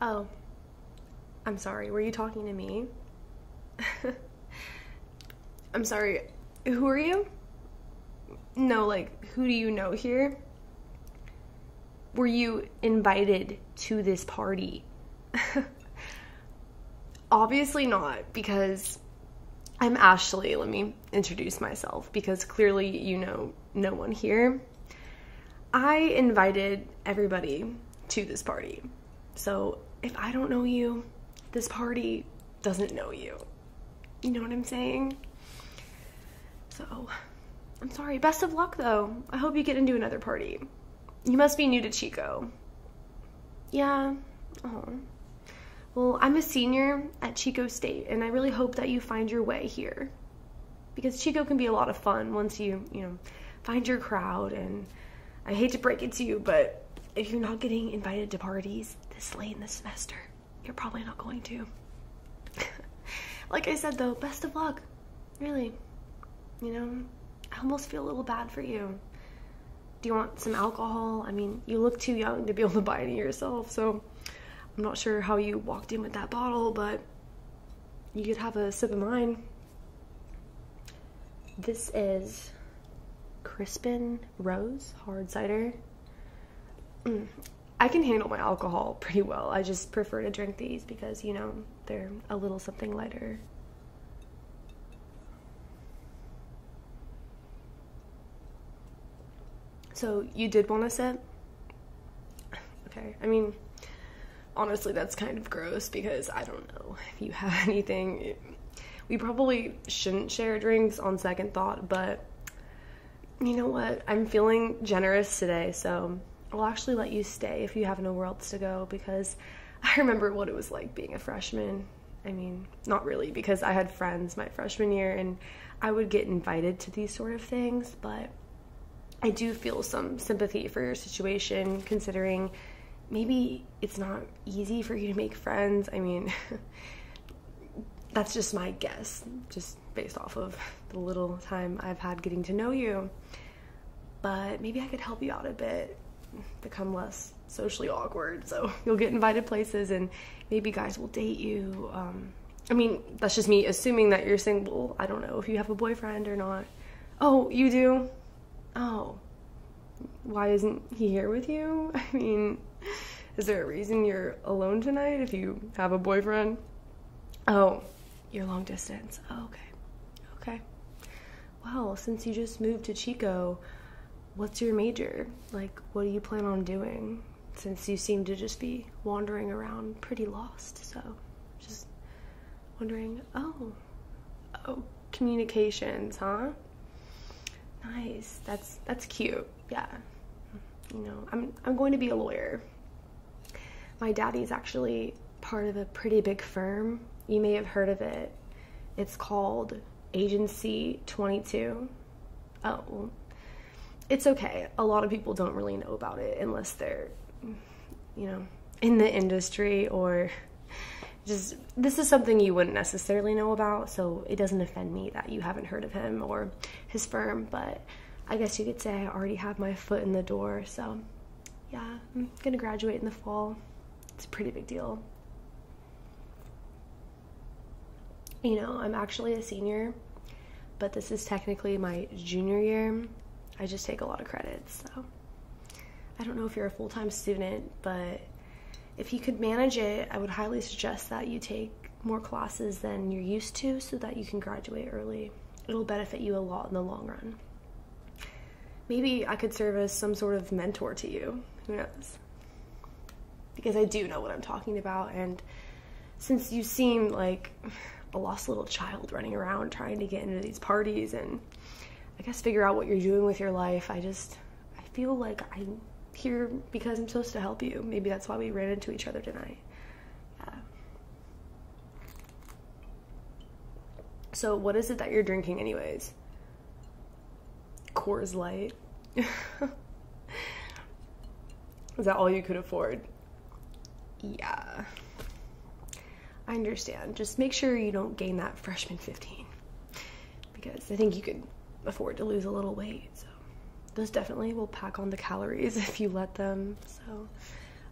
Oh, I'm sorry. Were you talking to me? I'm sorry. Who are you? No, like, who do you know here? were you invited to this party? Obviously not, because I'm Ashley. Let me introduce myself because clearly you know no one here. I invited everybody to this party. So if I don't know you, this party doesn't know you. You know what I'm saying? So, I'm sorry. Best of luck, though. I hope you get into another party. You must be new to Chico. Yeah. Oh. Well, I'm a senior at Chico State, and I really hope that you find your way here. Because Chico can be a lot of fun once you, you know, find your crowd. And I hate to break it to you, but if you're not getting invited to parties this late in the semester, you're probably not going to. like I said though, best of luck. Really. You know, I almost feel a little bad for you. Do you want some alcohol? I mean, you look too young to be able to buy any yourself, so I'm not sure how you walked in with that bottle, but you could have a sip of mine. This is Crispin Rose Hard Cider. Mm. I can handle my alcohol pretty well. I just prefer to drink these because, you know, they're a little something lighter. So you did want to sip? Okay, I mean, honestly, that's kind of gross because I don't know if you have anything. We probably shouldn't share drinks on second thought, but you know what? I'm feeling generous today, so I'll actually let you stay if you have nowhere else to go because I remember what it was like being a freshman. I mean, not really, because I had friends my freshman year and I would get invited to these sort of things, but I do feel some sympathy for your situation considering maybe it's not easy for you to make friends. I mean, that's just my guess, just based off of the little time I've had getting to know you. But maybe I could help you out a bit, become less socially awkward. So you'll get invited places and maybe guys will date you. Um, I mean, that's just me assuming that you're single. I don't know if you have a boyfriend or not. Oh, you do? Oh. Why isn't he here with you? I mean, is there a reason you're alone tonight if you have a boyfriend? Oh, you're long distance. Oh, okay. Okay. Well, since you just moved to Chico, what's your major? Like, what do you plan on doing? Since you seem to just be wandering around pretty lost, so just wondering, oh, oh, communications, huh? Nice. That's that's cute yeah, you know, I'm, I'm going to be a lawyer. My daddy's actually part of a pretty big firm. You may have heard of it. It's called Agency 22. Oh, it's okay. A lot of people don't really know about it unless they're, you know, in the industry or just this is something you wouldn't necessarily know about. So it doesn't offend me that you haven't heard of him or his firm, but I guess you could say I already have my foot in the door. So, yeah, I'm gonna graduate in the fall. It's a pretty big deal. You know, I'm actually a senior, but this is technically my junior year. I just take a lot of credits, so. I don't know if you're a full time student, but if you could manage it, I would highly suggest that you take more classes than you're used to so that you can graduate early. It'll benefit you a lot in the long run. Maybe I could serve as some sort of mentor to you. Who knows? Because I do know what I'm talking about, and since you seem like a lost little child running around trying to get into these parties and I guess figure out what you're doing with your life, I just I feel like I here because I'm supposed to help you. Maybe that's why we ran into each other tonight. Yeah. So, what is it that you're drinking, anyways? Coors Light. is that all you could afford? Yeah. I understand. Just make sure you don't gain that freshman 15 because I think you could afford to lose a little weight. So those definitely will pack on the calories if you let them. So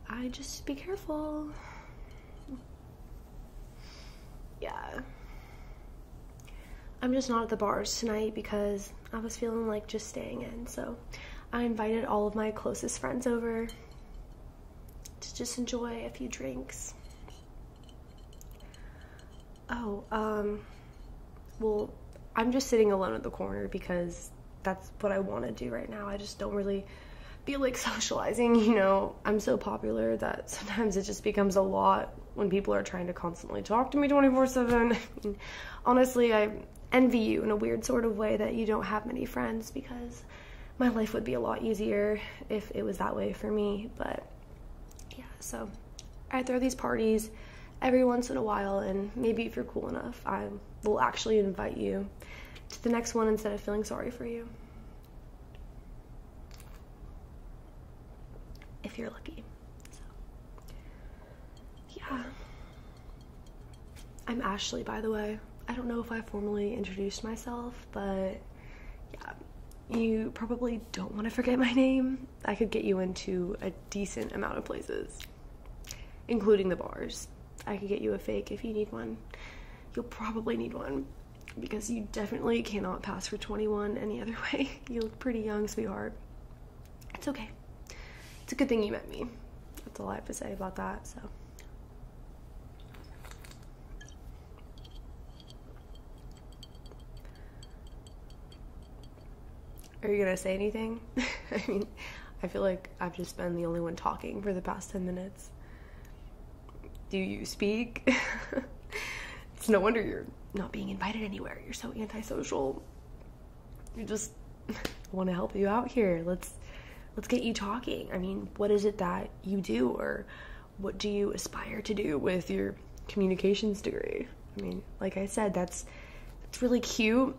I just be careful. Yeah. I'm just not at the bars tonight because I was feeling like just staying in. So I invited all of my closest friends over to just enjoy a few drinks. Oh, um, well, I'm just sitting alone at the corner because that's what I want to do right now. I just don't really feel like socializing, you know. I'm so popular that sometimes it just becomes a lot when people are trying to constantly talk to me 24/7. honestly, I envy you in a weird sort of way that you don't have many friends because my life would be a lot easier if it was that way for me, but yeah, so I throw these parties every once in a while, and maybe if you're cool enough, I will actually invite you to the next one instead of feeling sorry for you. If you're lucky. yeah. I'm Ashley, by the way. I don't know if I formally introduced myself, but yeah, you probably don't want to forget my name. I could get you into a decent amount of places, including the bars. I could get you a fake if you need one. You'll probably need one because you definitely cannot pass for 21 any other way. You look pretty young, sweetheart. It's okay. It's a good thing you met me. That's all I have to say about that, so. Are you gonna say anything? I mean, I feel like I've just been the only one talking for the past 10 minutes. Do you speak? it's no wonder you're not being invited anywhere. You're so antisocial. You just want to help you out here. Let's let's get you talking. I mean, what is it that you do or what do you aspire to do with your communications degree. I mean, like I said, that's that's really cute,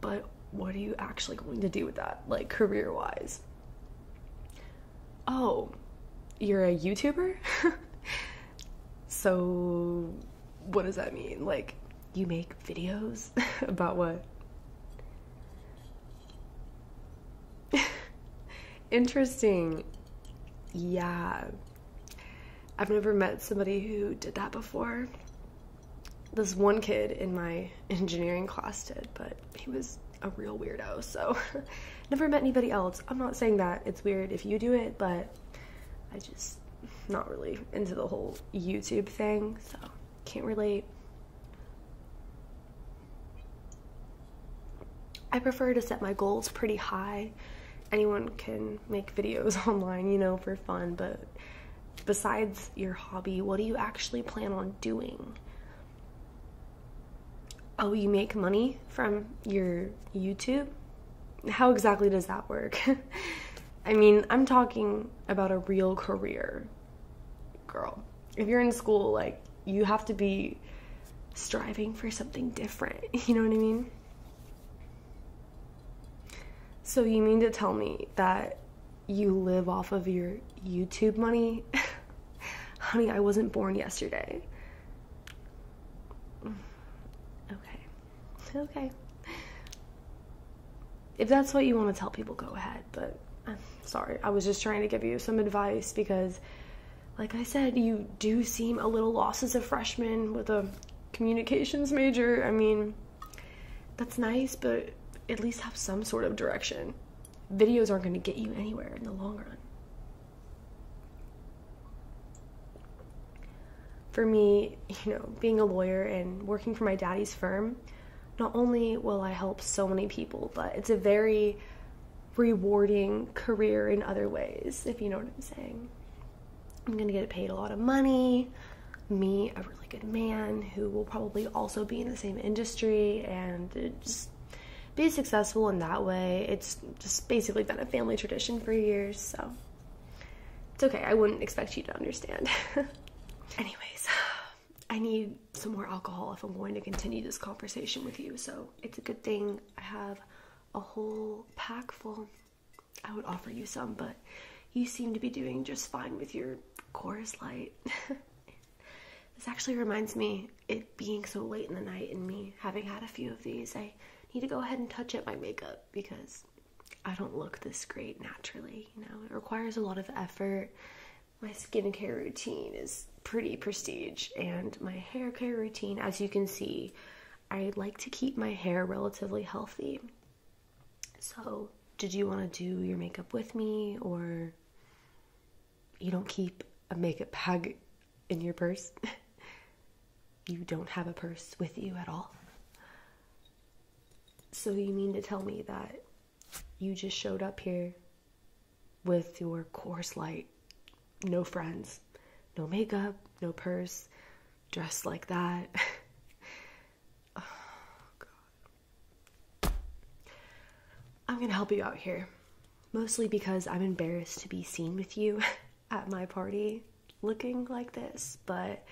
but what are you actually going to do with that, like career-wise? Oh, you're a YouTuber? so what does that mean? Like you make videos about what? Interesting. Yeah. I've never met somebody who did that before. This one kid in my engineering class did, but he was a real weirdo, so never met anybody else. I'm not saying that it's weird if you do it, but I just not really into the whole YouTube thing, so can't relate. I prefer to set my goals pretty high. Anyone can make videos online, you know, for fun, but besides your hobby, what do you actually plan on doing? Oh, you make money from your YouTube? How exactly does that work? I mean, I'm talking about a real career, girl. If you're in school, like, you have to be striving for something different. You know what I mean? So, you mean to tell me that you live off of your YouTube money? Honey, I wasn't born yesterday. Okay. Okay. If that's what you want to tell people, go ahead. But I'm uh, sorry. I was just trying to give you some advice because like I said, you do seem a little lost as a freshman with a communications major. I mean, that's nice, but at least have some sort of direction. Videos aren't going to get you anywhere in the long run. For me, you know, being a lawyer and working for my daddy's firm, not only will I help so many people, but it's a very rewarding career in other ways, if you know what I'm saying. I'm gonna get paid a lot of money, me a really good man who will probably also be in the same industry and just be successful in that way. It's just basically been a family tradition for years, so it's okay. I wouldn't expect you to understand. Anyways, I need some more alcohol if I'm going to continue this conversation with you, so it's a good thing I have a whole pack full, I would offer you some, but you seem to be doing just fine with your Coors Light. this actually reminds me it being so late in the night and me having had a few of these. I need to go ahead and touch up my makeup because I don't look this great naturally, you know. It requires a lot of effort. My skincare routine is pretty prestige and my hair care routine as you can see I like to keep my hair relatively healthy so did you want to do your makeup with me or you don't keep a makeup bag in your purse you don't have a purse with you at all so you mean to tell me that you just showed up here with your course light, no friends, no makeup, no purse, dressed like that. Oh, God. I'm gonna help you out here, mostly because I'm embarrassed to be seen with you at my party looking like this, but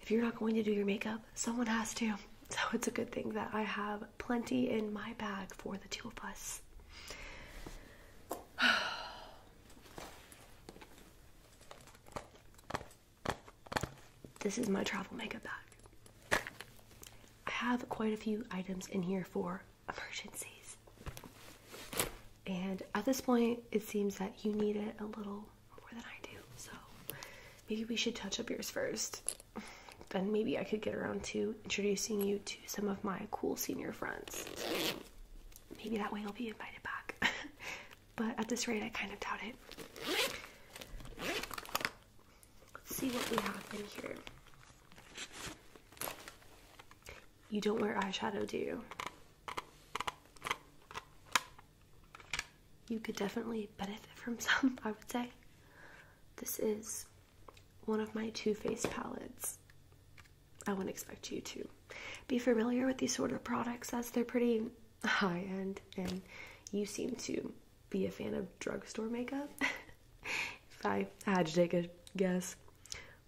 if you're not going to do your makeup, someone has to. So it's a good thing that I have plenty in my bag for the two of us. This is my travel makeup bag. I have quite a few items in here for emergencies. And at this point, it seems that you need it a little more than I do. So maybe we should touch up yours first. then maybe I could get around to introducing you to some of my cool senior friends. Maybe that way you'll be invited back. but at this rate, I kind of doubt it. Let's see what we have in here. You don't wear eyeshadow, do you? You could definitely benefit from some, I would say. This is one of my Too Faced palettes. I wouldn't expect you to be familiar with these sort of products as they're pretty high end, and you seem to be a fan of drugstore makeup. if I had to take a guess,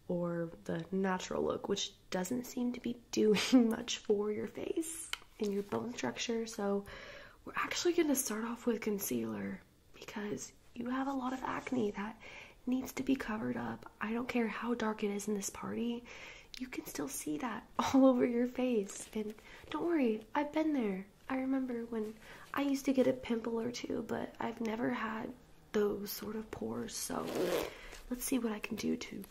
or the natural look, which doesn't seem to be doing much for your face and your bone structure, so we're actually going to start off with concealer because you have a lot of acne that needs to be covered up. I don't care how dark it is in this party, you can still see that all over your face. And don't worry, I've been there. I remember when I used to get a pimple or two, but I've never had those sort of pores. So let's see what I can do to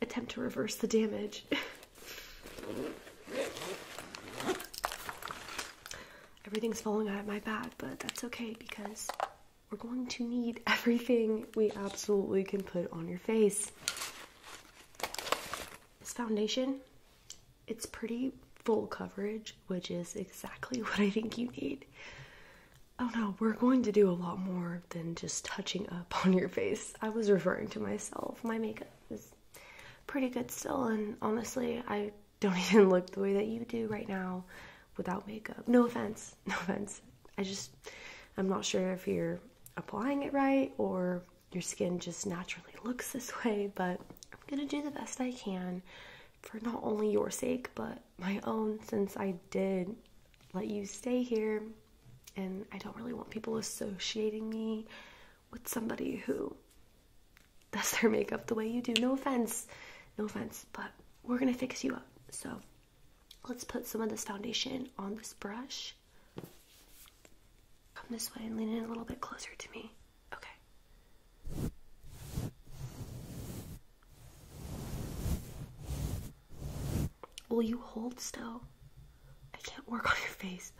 attempt to reverse the damage. everything's falling out of my bag, but that's okay because we're going to need everything we absolutely can put on your face. This foundation, it's pretty full coverage, which is exactly what I think you need. Oh no, we're going to do a lot more than just touching up on your face. I was referring to myself. My makeup is pretty good still, and honestly, I don't even look the way that you do right now without makeup. No offense, no offense. I just, I'm not sure if you're applying it right or your skin just naturally looks this way, but I'm gonna do the best I can for not only your sake, but my own, since I did let you stay here and I don't really want people associating me with somebody who does their makeup the way you do. No offense, no offense, but we're gonna fix you up. So let's put some of this foundation on this brush. Come this way and lean in a little bit closer to me. Okay. Will you hold still? I can't work on your face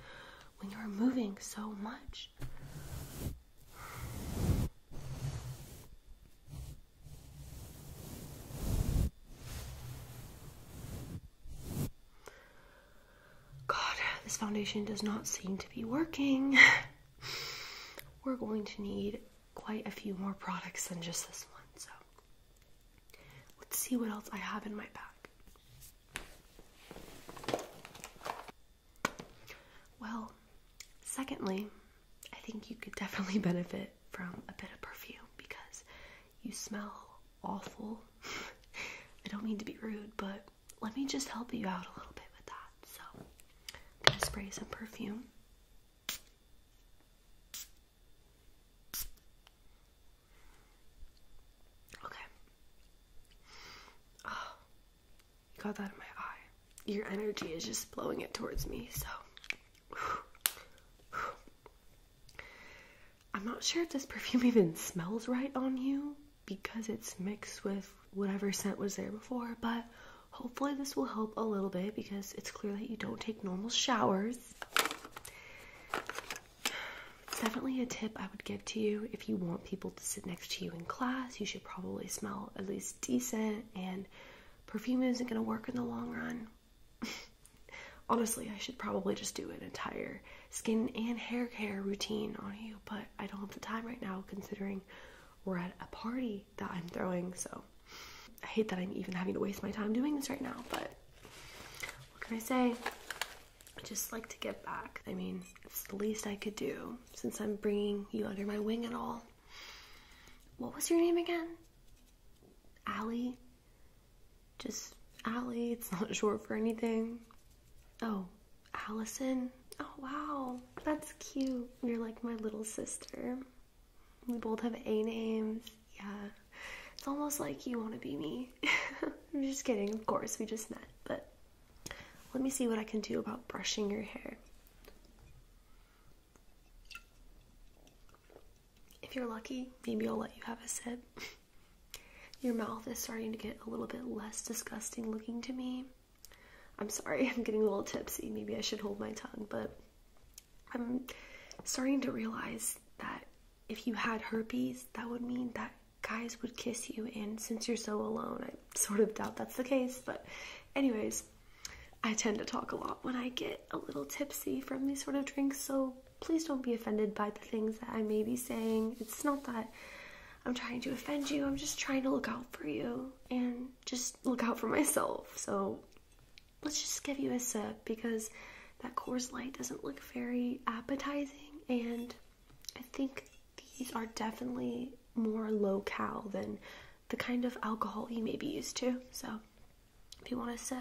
when you're moving so much. God, this foundation does not seem to be working. We're going to need quite a few more products than just this one, so let's see what else I have in my bag. Well, secondly, I think you could definitely benefit from a bit of perfume because you smell awful. I don't mean to be rude, but let me just help you out a little bit with that. So, I'm going to spray some perfume. Okay. Oh, you got that in my eye. Your energy is just blowing it towards me, so. I'm not sure if this perfume even smells right on you because it's mixed with whatever scent was there before, but hopefully this will help a little bit because it's clear that you don't take normal showers. Definitely a tip I would give to you if you want people to sit next to you in class, you should probably smell at least decent, and perfume isn't going to work in the long run. Honestly, I should probably just do an entire skin and hair care routine on you, but I don't have the time right now considering we're at a party that I'm throwing, so I hate that I'm even having to waste my time doing this right now, but what can I say? I just like to get back. I mean, it's the least I could do since I'm bringing you under my wing and all. What was your name again? Allie? Just Allie, it's not short for anything. Oh, Allison? Oh, wow, that's cute. You're like my little sister. We both have A names. Yeah, it's almost like you want to be me. I'm just kidding, of course, we just met, but let me see what I can do about brushing your hair. If you're lucky, maybe I'll let you have a sip. Your mouth is starting to get a little bit less disgusting looking to me. I'm sorry, I'm getting a little tipsy. Maybe I should hold my tongue, but I'm starting to realize that if you had herpes, that would mean that guys would kiss you. And since you're so alone, I sort of doubt that's the case. But, anyways, I tend to talk a lot when I get a little tipsy from these sort of drinks. So, please don't be offended by the things that I may be saying. It's not that I'm trying to offend you, I'm just trying to look out for you and just look out for myself. So, let's just give you a sip because that Coors Light doesn't look very appetizing and I think these are definitely more low cal than the kind of alcohol you may be used to. So if you want to set,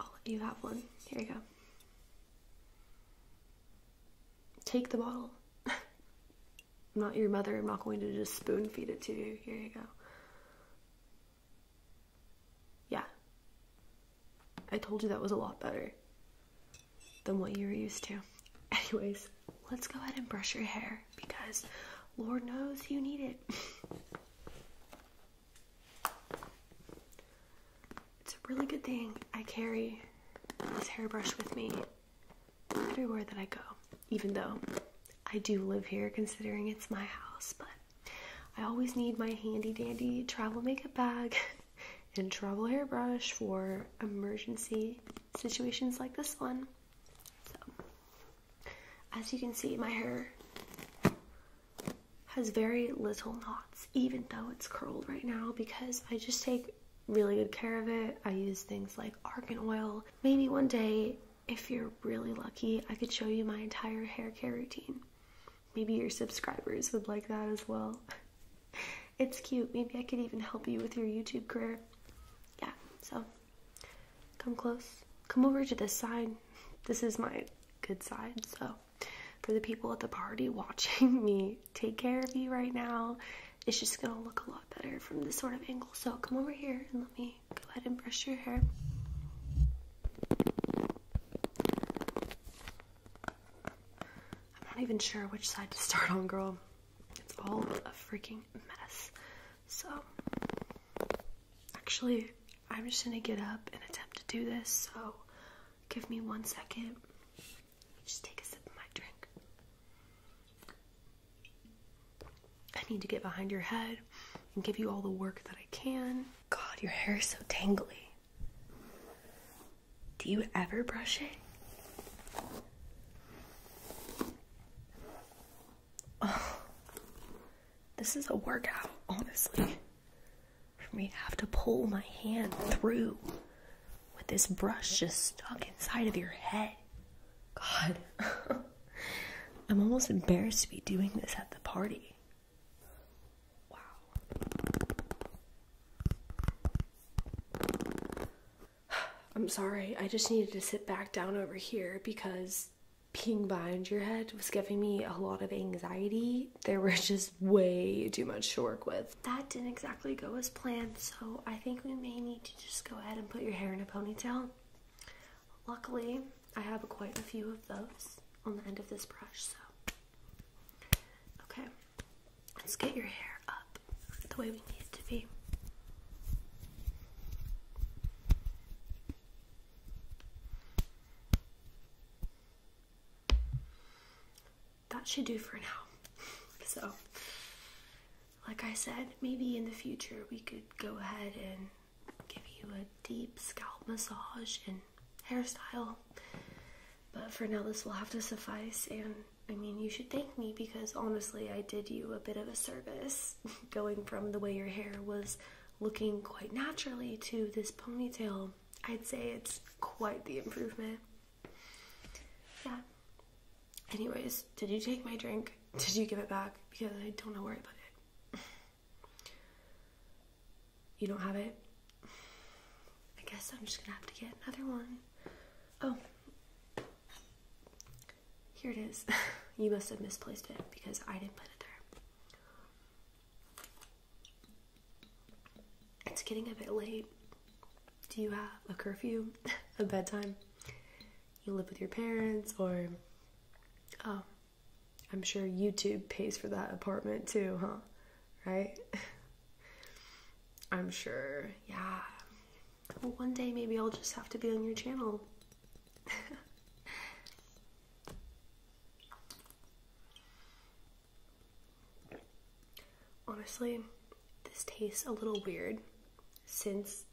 I'll oh, you have one. Here you go. Take the bottle. I'm not your mother. I'm not going to just spoon feed it to you. Here you go. Yeah. I told you that was a lot better than what you were used to. Anyways, let's go ahead and brush your hair because Lord knows you need it. it's a really good thing I carry this hairbrush with me everywhere that I go, even though I do live here considering it's my house, but I always need my handy dandy travel makeup bag and travel hairbrush for emergency situations like this one. So, as you can see, my hair has very little knots, even though it's curled right now, because I just take really good care of it. I use things like argan oil. Maybe one day, if you're really lucky, I could show you my entire hair care routine maybe your subscribers would like that as well. It's cute. Maybe I could even help you with your YouTube career. Yeah, so come close. Come over to this side. This is my good side. So, for the people at the party watching me take care of you right now, it's just gonna look a lot better from this sort of angle. So, come over here and let me go ahead and brush your hair. I'm not even sure which side to start on, girl. It's all a freaking mess. So, actually, I'm just gonna get up and attempt to do this. So, give me one second. Just take a sip of my drink. I need to get behind your head and give you all the work that I can. God, your hair is so tangly. Do you ever brush it? Oh, this is a workout, honestly. For me to have to pull my hand through with this brush just stuck inside of your head. God. I'm almost embarrassed to be doing this at the party. Wow. I'm sorry, I just needed to sit back down over here because being behind your head was giving me a lot of anxiety. There was just way too much to work with. That didn't exactly go as planned, so I think we may need to just go ahead and put your hair in a ponytail. Luckily, I have quite a few of those on the end of this brush, so. Okay, let's get your hair up the way we need it to be. That should do for now. So, like I said, maybe in the future we could go ahead and give you a deep scalp massage and hairstyle. But for now, this will have to suffice. And I mean, you should thank me because honestly, I did you a bit of a service going from the way your hair was looking quite naturally to this ponytail. I'd say it's quite the improvement. Yeah. Anyways, did you take my drink? Did you give it back? Because I don't know where I put it. You don't have it? I guess I'm just gonna have to get another one. Oh. Here it is. you must have misplaced it because I didn't put it there. It's getting a bit late. Do you have a curfew, a bedtime? You live with your parents or. Oh, I'm sure YouTube pays for that apartment too, huh? Right? I'm sure, yeah. Well, one day maybe I'll just have to be on your channel. Honestly, this tastes a little weird since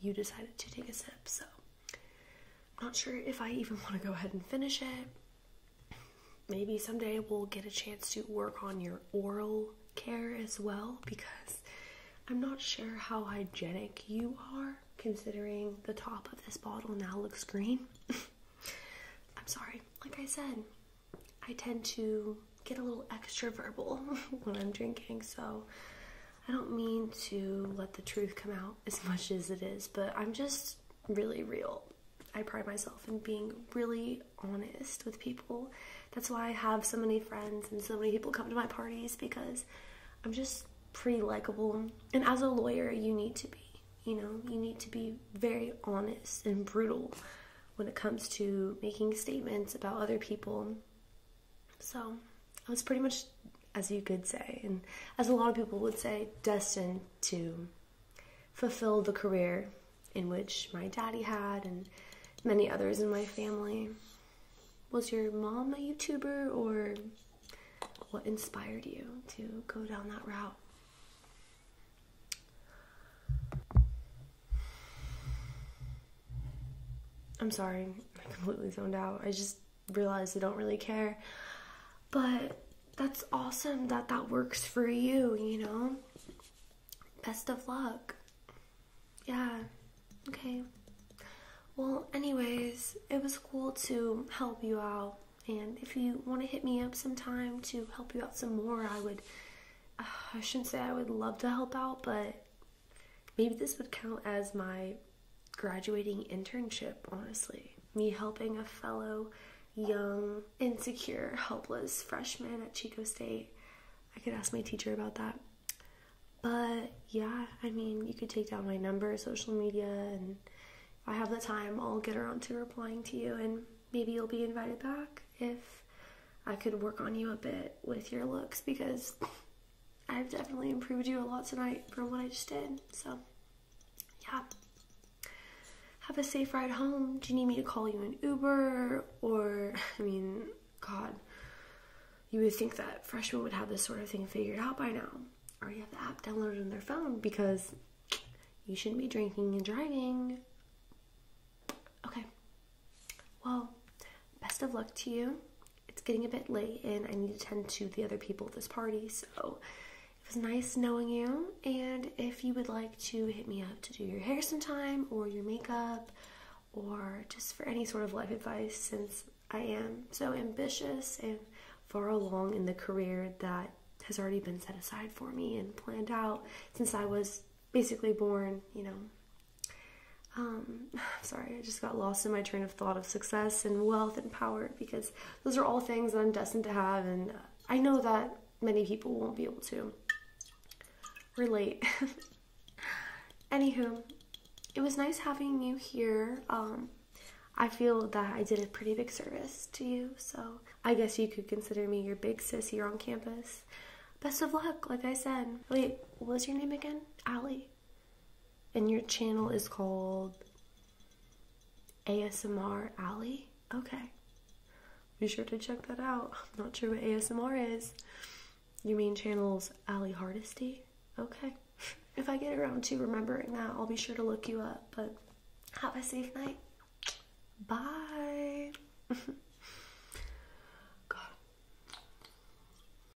you decided to take a sip, so I'm not sure if I even want to go ahead and finish it. Maybe someday we'll get a chance to work on your oral care as well because I'm not sure how hygienic you are considering the top of this bottle now looks green. I'm sorry, like I said, I tend to get a little extra verbal when I'm drinking, so I don't mean to let the truth come out as much as it is, but I'm just really real. I pride myself in being really honest with people. That's why I have so many friends and so many people come to my parties because I'm just pretty likable. And as a lawyer, you need to be, you know, you need to be very honest and brutal when it comes to making statements about other people. So, I was pretty much, as you could say, and as a lot of people would say, destined to fulfill the career in which my daddy had and many others in my family. Was your mom a YouTuber or what inspired you to go down that route? I'm sorry, I completely zoned out. I just realize they don't really care. But that's awesome that that works for you, you know? Best of luck. Yeah. Okay. Well, anyways, it was cool to help you out. And if you want to hit me up sometime to help you out some more, I would, uh, I shouldn't say I would love to help out, but maybe this would count as my graduating internship, honestly. Me helping a fellow young, insecure, helpless freshman at Chico State. I could ask my teacher about that. But yeah, I mean, you could take down my number, social media, and if I have the time, I'll get around to replying to you, and maybe you'll be invited back if I could work on you a bit with your looks because I've definitely improved you a lot tonight from what I just did. So, yeah. Have a safe ride home. Do you need me to call you an Uber? Or, I mean, God, you would think that freshmen would have this sort of thing figured out by now. Or you have the app downloaded on their phone because you shouldn't be drinking and driving. Okay. Well, best of luck to you it's getting a bit late and I need to tend to the other people at this party. So it was nice knowing you. And if you would like to hit me up to do your hair sometime or your makeup or just for any sort of life advice, since I am so ambitious and far along in the career that has already been set aside for me and planned out since I was basically born, you know, um, sorry, I just got lost in my train of thought of success and wealth and power because those are all things that I'm destined to have, and I know that many people won't be able to relate. Anywho, it was nice having you here. Um, I feel that I did a pretty big service to you, so I guess you could consider me your big sis here on campus. Best of luck, like I said. Wait, what was your name again? Allie. And your channel is called ASMR Alley? Okay. Be sure to check that out. I'm not sure what ASMR is. Your main channel's Alley Hardisty? Okay. If I get around to remembering that, I'll be sure to look you up. But have a safe night. Bye. God.